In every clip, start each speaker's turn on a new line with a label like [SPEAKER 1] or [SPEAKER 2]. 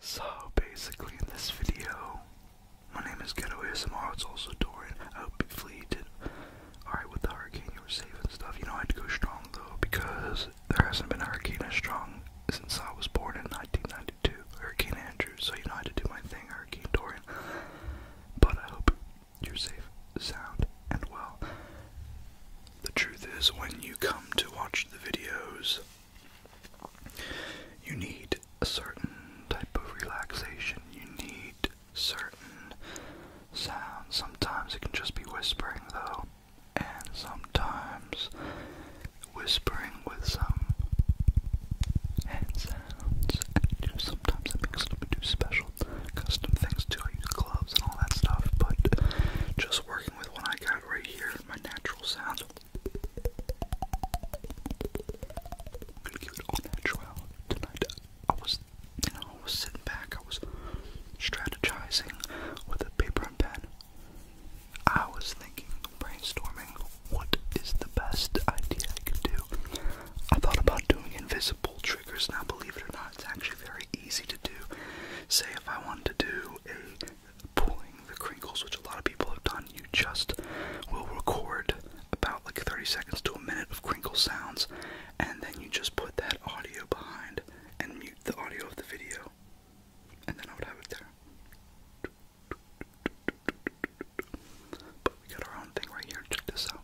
[SPEAKER 1] So basically in this video, my name is Ghetto ASMR, it's also Dorian. I hope hopefully you did alright with the hurricane, you were safe and stuff. You know I had to go strong though because there hasn't been a hurricane as strong since I was born in 1992, Hurricane Andrew. So you know I had to do my thing, Hurricane Dorian. But I hope you're safe, sound, and well. The truth is when you come to watch the videos, you need a certain type of relaxation. You need certain sounds. Sometimes it can just be whispering, though, and sometimes whispering with some hand sounds. And sometimes I mix it up special custom things too. I use gloves and all that stuff, but just working with what I got right here my natural sound. I'm gonna give it all natural tonight. I was, I was sitting back. I was strategizing with a paper and pen. I was thinking, brainstorming, what is the best idea I could do? I thought about doing invisible triggers. Now, believe it or not, it's actually very easy to do. Say if I want to do a pulling the crinkles, which a lot of people have done, you just will record about like 30 seconds to a minute of crinkle sounds, and then you just put that audio behind and mute the audio of the video, and then I would have it there. But we got our own thing right here. Check this out.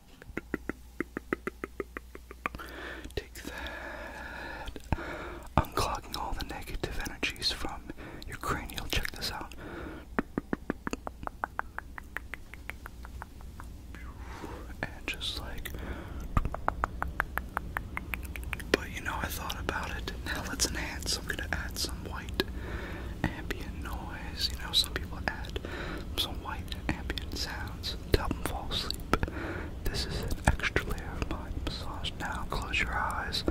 [SPEAKER 1] Unclogging all the negative energies from your cranial. Check this out. And just like. But you know, I thought about it. Now let's enhance. I'm gonna add some white ambient noise. You know, some people add some white ambient sounds to help them fall asleep. This is an extra layer of my massage. Now close your eyes.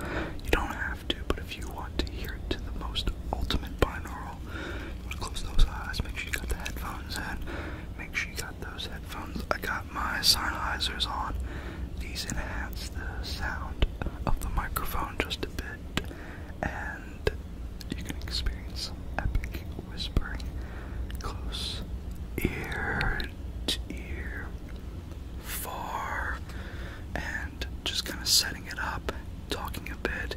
[SPEAKER 1] You don't have to, but if you want to hear it to the most ultimate binaural, close those eyes. Make sure you got the headphones in. Make sure you got those headphones. I got my Sennheisers on. These enhance the sound of the microphone just a bit, and you can experience some epic whispering. Close ear different far and just kind of setting it up, talking a bit,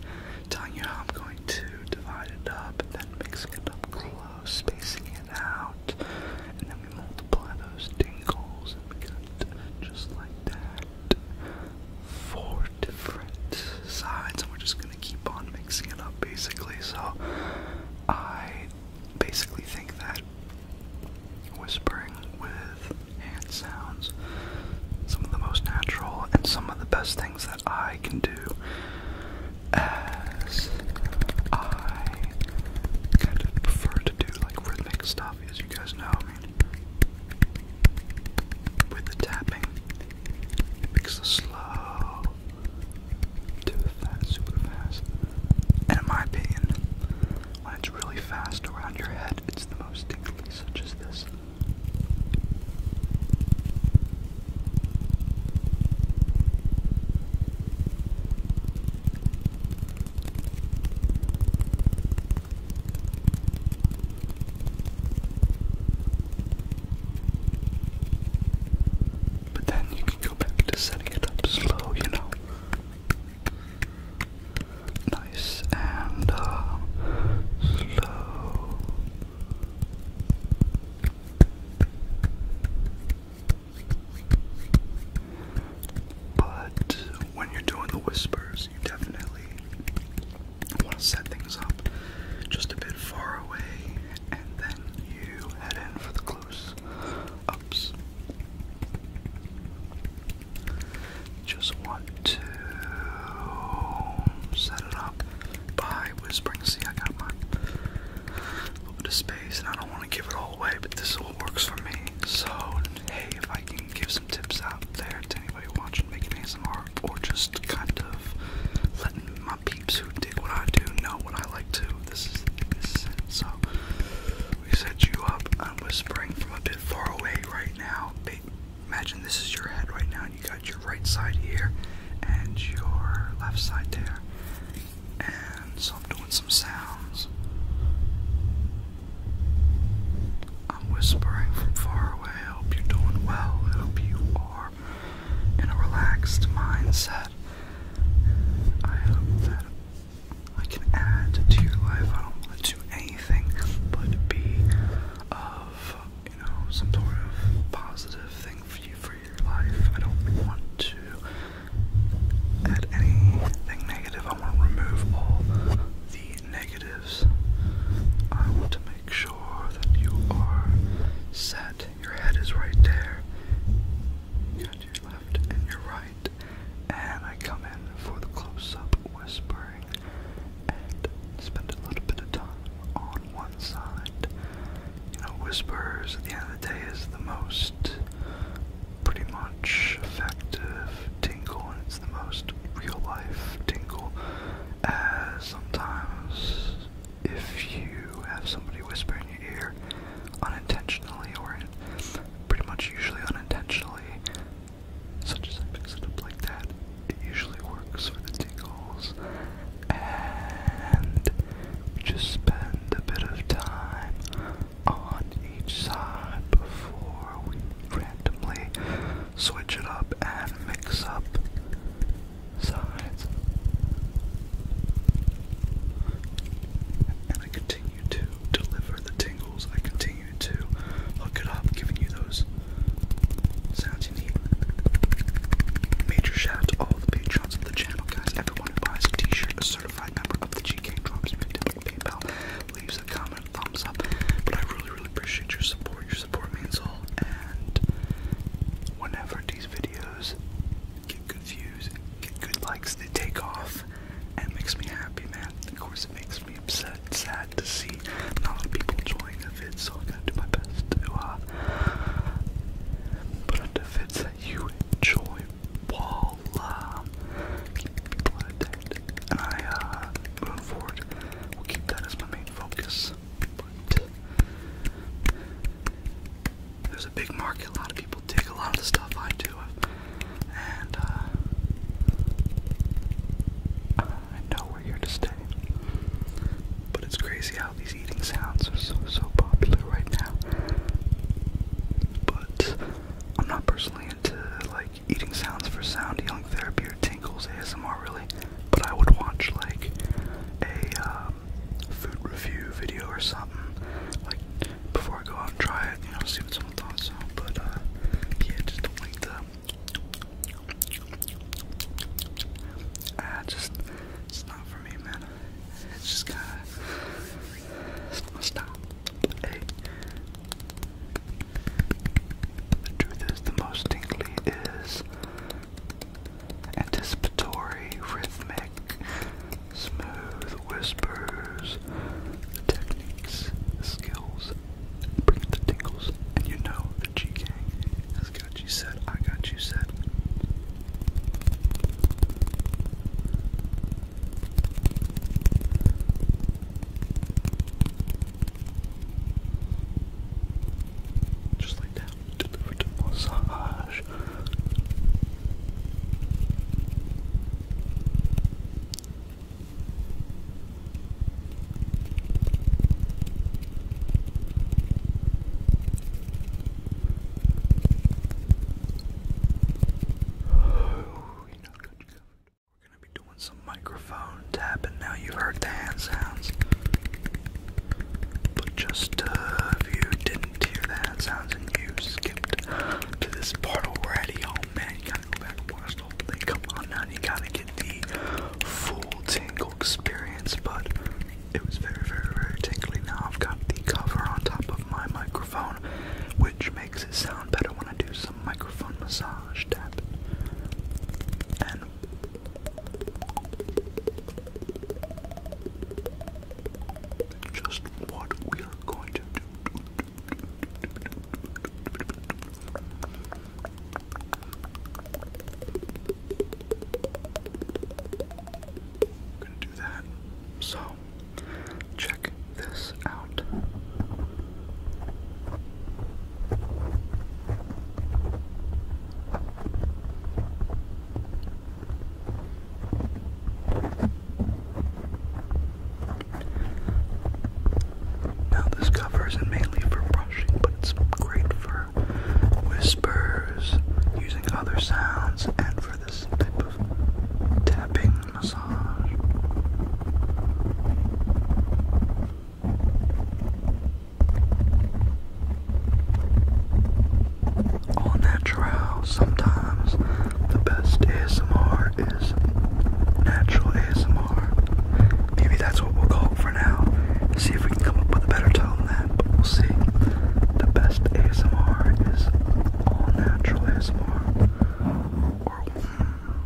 [SPEAKER 1] telling you how I'm going to divide it up, and then mixing it up close, spacing it out, and then we multiply those dingles and we got just like that. Four different sides, and we're just gonna keep on mixing it up basically. So I basically think that whispering with hand sounds some of the most natural and some of the best things that I can do as I kind of prefer to do like rhythmic stuff as you guys know with the tapping it the slow too fast, super fast. And in my opinion, when it's really fast around your head, it's the most tingly, such as this. But then you can go back to setting it up slow, you know. Nice and uh, slow. But when you're doing the whispers, you definitely want to set things up just a bit far away you head in for the close ups. Just want to set it up by whispering. See, I got my little bit of space, and I don't want to give it all away, but this is works for me. So, hey, if I can give some tips out there to anybody watching, making ASMR, or just kind of letting my peeps who dig what I do know what I like to. This is So we set you up. I'm whispering from a bit far away right now. Imagine this is your head right now, and you got your right side here and your left side there. And so I'm doing some sounds. I'm whispering from far away. hope you're doing well. hope you are in a relaxed mindset. I hope that I can add to your life. I don't want to anything but be of, you know, some sort of positive thing for you for your life. I don't want to add anything negative. I want to remove all the negatives. I want to make sure that you are set your head is right there. You go your left and your right. And I come in for the close up whispering and spend a little bit of time on one side. You know, whispers at the end of the day is the most pretty much effective tingle and it's the most real life tingle as uh, sometimes if you have somebody whisper in your ear unintentionally or pretty much usually unintentionally, such as I fix it up like that, it usually works for the tingles. And just spend a bit of time on each side before we randomly switch it up and mix up and I continue to deliver the tingles. I continue to hook it up, giving you those sounds you need. Major shout out to all the patrons of the channel, guys. Everyone who buys a t-shirt, a certified member of the GK Drops, me down PayPal, leaves a comment, thumbs up. But I really, really appreciate your support your support means all. And whenever these videos get good views, get good likes, they take off, and makes me happy, man. Of course, it makes me upset, sad to see not a lot of people enjoying the vids, so I gotta do my best to uh, put out the vids that you enjoy while uh, people entertained. And I, uh, moving forward, will keep that as my main focus there's a big market. A lot of people dig a lot of the stuff I do, and uh, I know we're here to stay. But it's crazy how these eating sounds are so so popular right now. But I'm not personally into like eating sounds for sound healing therapy your tingles ASMR really, but I would watch like a um, food review video or something, like before I go out and try it, you know, see what someone thought. So, but uh, yeah, just don't like the. Ah, just it's not for me, man. It's just kind to stop. the truth is, the most tingly is anticipatory, rhythmic, smooth whispers, techniques, skills, bring the tingles, and you know the G Gang has got you set, I got you set. Just like that. Delivered massage. Oh, We're gonna be doing some microphone tapping now. you heard the sounds. But just uh, if you didn't hear the sounds and you skipped to this part already, oh man, you gotta go back and watch the thing. Come on now, you gotta get the full tingle experience. But it was very, very, very tingly. Now I've got the cover on top of my microphone, which makes it sound better when I do some microphone massage tap. And just what we are going to do. I'm gonna do that. So, check this out. Now, this cover isn't mainly for brushing, but it's great for whispers, using other sounds, and for this type of tapping massage. All natural. Sometimes the best ASMR is natural ASMR. Maybe that's what we'll call for now. See if we can come up with a better term than we'll see. The best ASMR is all natural ASMR. Or hmm.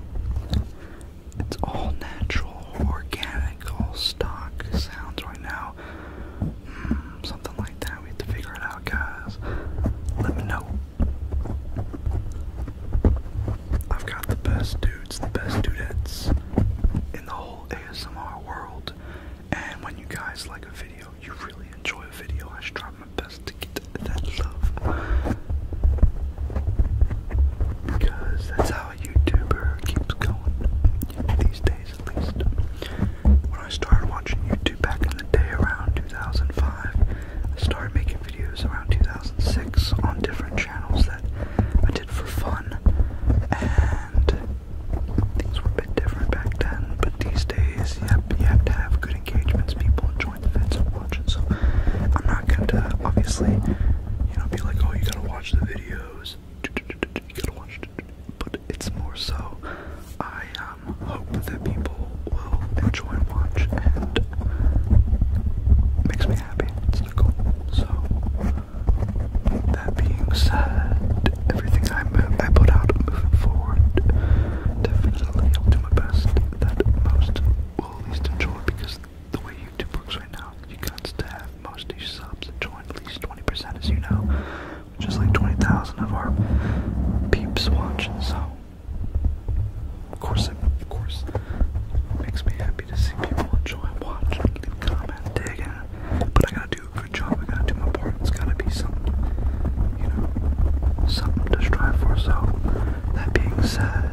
[SPEAKER 1] It's all natural, organic, all stock sounds right now. Hmm, something like that. We have to figure it out, guys. Let me know. I've got the best dudes, the best dudettes in the whole ASMR world. And when you guys like a video, you really enjoy a video, I try my best to get that love. Because that's how a YouTuber keeps going, these days at least. When I started watching YouTube back in the day around 2005, I started making videos around 2006 on different channels that I did for fun, and things were a bit different back then, but these days yep, you have to have good engagements, people enjoy I'm not gonna obviously, you know, be like, oh, you gotta watch the videos, But it's more so, I um, hope that people will enjoy and watch, and makes me happy. So that being said, everything I I put out moving forward, definitely I'll do my best that most will at least enjoy because the way YouTube works right now, you got to have most of your subs join at least 20%, as you know, which is like 20,000 of our peeps watching. So, of course, it, of course, makes me happy to see people enjoy watching, leave comment, digging. But I gotta do a good job. I gotta do my part. It's gotta be something, you know, something to strive for. So. That being said,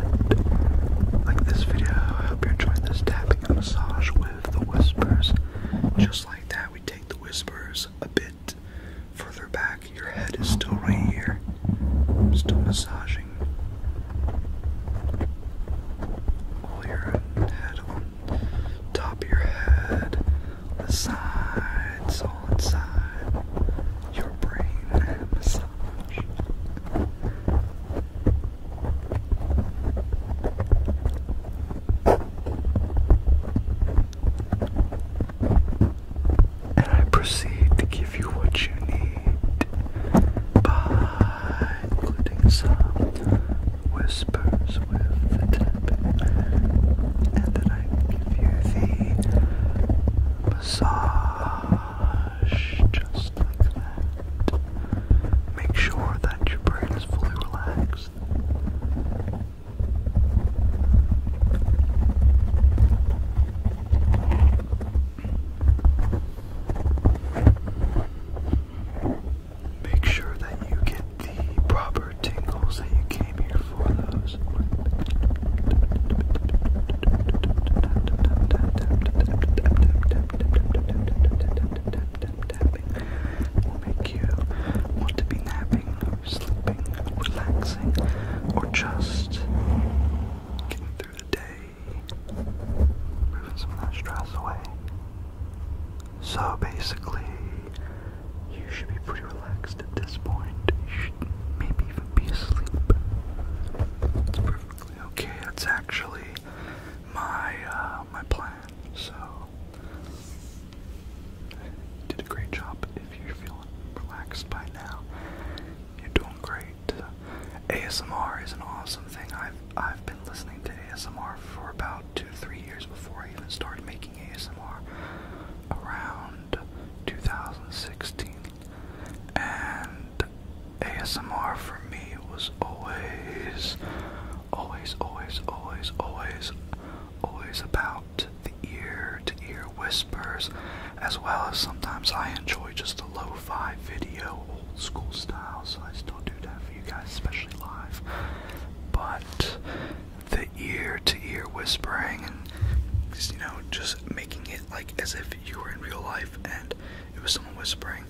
[SPEAKER 1] like this video, I hope you enjoyed this tapping massage with the whispers. Just like that, we take the whispers a bit further back. Your head is still right here. I'm still massaging all your head on top of your head, the sides, all inside your brain. And I proceed to give you what you need by including some whispers with the tapping, and then I give you the massage just like that. Make sure that your brain is fully relaxed. Make sure that you get the proper tingles that you came here for, tapping will make you want to be napping, or sleeping, relaxing, or just getting through the day, moving some that stress away. So basically, you should be pretty relaxed at this point. maybe even be asleep. It's perfectly okay. That's actually my uh, my plan. So did a great job. If you're feeling relaxed by now, you're doing great. ASMR is an awesome thing. I've I've been listening to ASMR for about two three years before I even started making ASMR. Around 2016, and ASMR for me was always, always, always, always, always, always about the ear to ear whispers, as well as sometimes I enjoy just the lo fi video, old school style, so I still do that for you guys, especially live. But the ear to ear whispering and just, you know, just making it like as if you were in real life and it was someone whispering.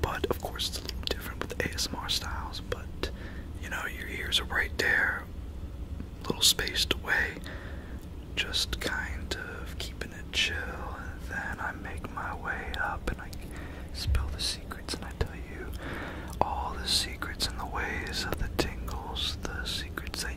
[SPEAKER 1] But of course, it's a little different with ASMR styles, but you know, your ears are right there, little spaced away, just kind of keeping it chill. And then I make my way up and I spill the secrets and I tell you all the secrets and the ways of the tingles, the secrets they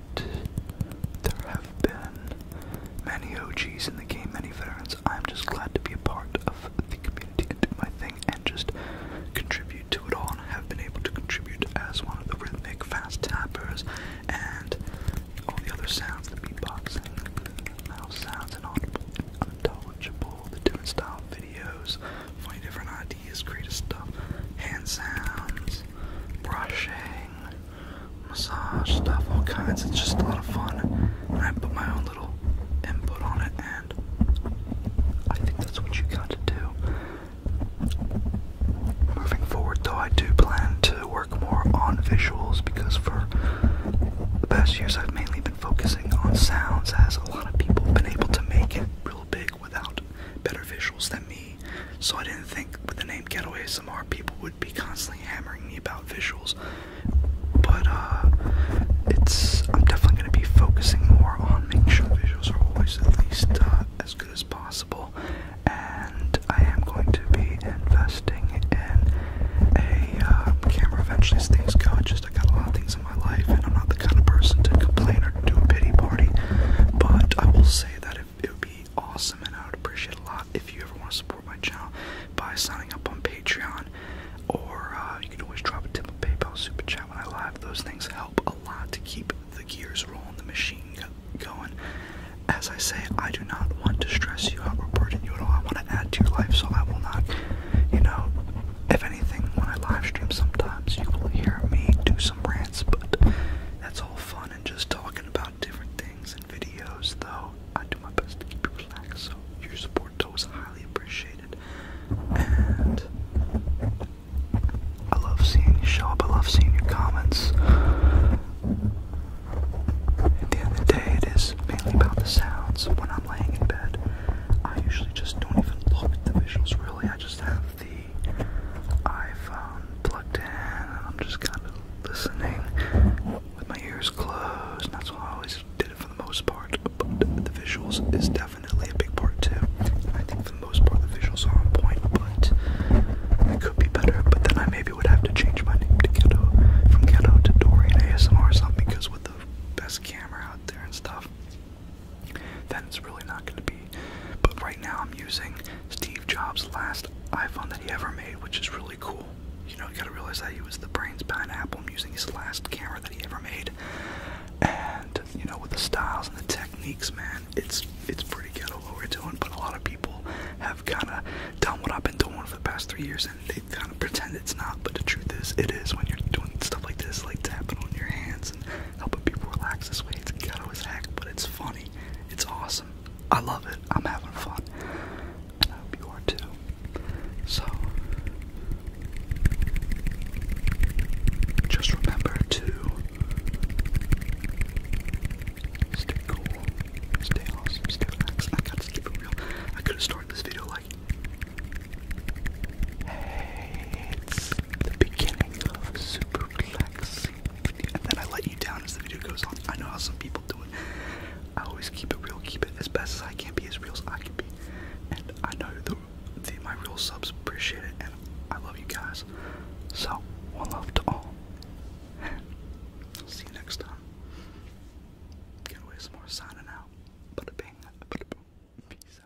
[SPEAKER 1] there have been many OGs in the game, many veterans. I'm just glad to be a part of the community and do my thing and just contribute to it all. And I have been able to contribute as one of the rhythmic fast tappers and all the other sounds, the beatboxing, the mouth sounds, and audible, unintelligible, the different style videos, funny different ideas, creative stuff, hand sounds, brushing, massage stuff, all kinds. It's just a lot of fun. And I put my own little input on it, and I think that's what you got to do. Moving forward, though, I do plan to work more on visuals because for the past years I've mainly been focusing on sounds, as a lot of people have been able to make it real big without better visuals than me so I didn't think with the name "Getaway ASMR people would be constantly hammering me about visuals. But uh, it's I'm definitely going to be focusing more on making sure visuals are always at least uh, as good as possible, and I am going to be investing in a um, camera eventually as things go. Just I got a lot of things in my life, and I'm not the kind of person to complain or do a pity party. But I will say that if it would be awesome, and I would appreciate a lot if you ever want to support my channel by signing up on Patreon, or uh, you can always drop a tip on PayPal, Super Chat when I live. Those things help a lot to keep the gears rolling, the machine going. As I say, I do not want to stress you out or burden you at all. I want to add to your life, so I will not, you know. If anything, when I live stream, sometimes you will hear me do some rants, but that's all fun and just talking about different things and videos, though I do my best to keep you relaxed, so your support though is highly appreciated. And I love seeing you show up, I love seeing your comments. At the end of the day, it is mainly about the sounds. When I'm laying in bed, I usually just don't even look at the visuals, really. I just have the iPhone plugged in, and I'm just kind of listening with my ears closed. And that's why I always did it for the most part. But the visuals is definitely a big part too. I think for the most part the visuals are on point, but it could be better. But then I maybe would have to change my name to Ghetto from Ghetto to Dorian ASMR or something because with the best camera out there and stuff, then it's really not going to be but right now I'm using Steve Jobs' last iPhone that he ever made, which is really cool. You know, you gotta realize that he was the brains behind Apple. I'm using his last camera that he ever made. And, you know, with the styles and the techniques, man, it's it's pretty ghetto what we're doing, but a lot of people have kinda done what I've been doing for the past three years and they kinda pretend it's not, but the truth is it is when you're doing stuff like this, like tapping on your hands and helping people relax this way. It's ghetto as heck, but it's funny. It's awesome. I love it. I'm having fun. I hope you are too. So, just remember to stay cool, stay awesome, stay relaxed. I gotta keep real. I could have started this video like, hey, it's the beginning of Super relaxing And then I let you down as the video goes on. I know how some people do it. I always keep it real, keep it as best as I can be, as real as I can be. And I know the, the my real subs appreciate it, and I love you guys. So, one love to all. See you next time. Get away some more signing out. Bada bing, bada boom. Peace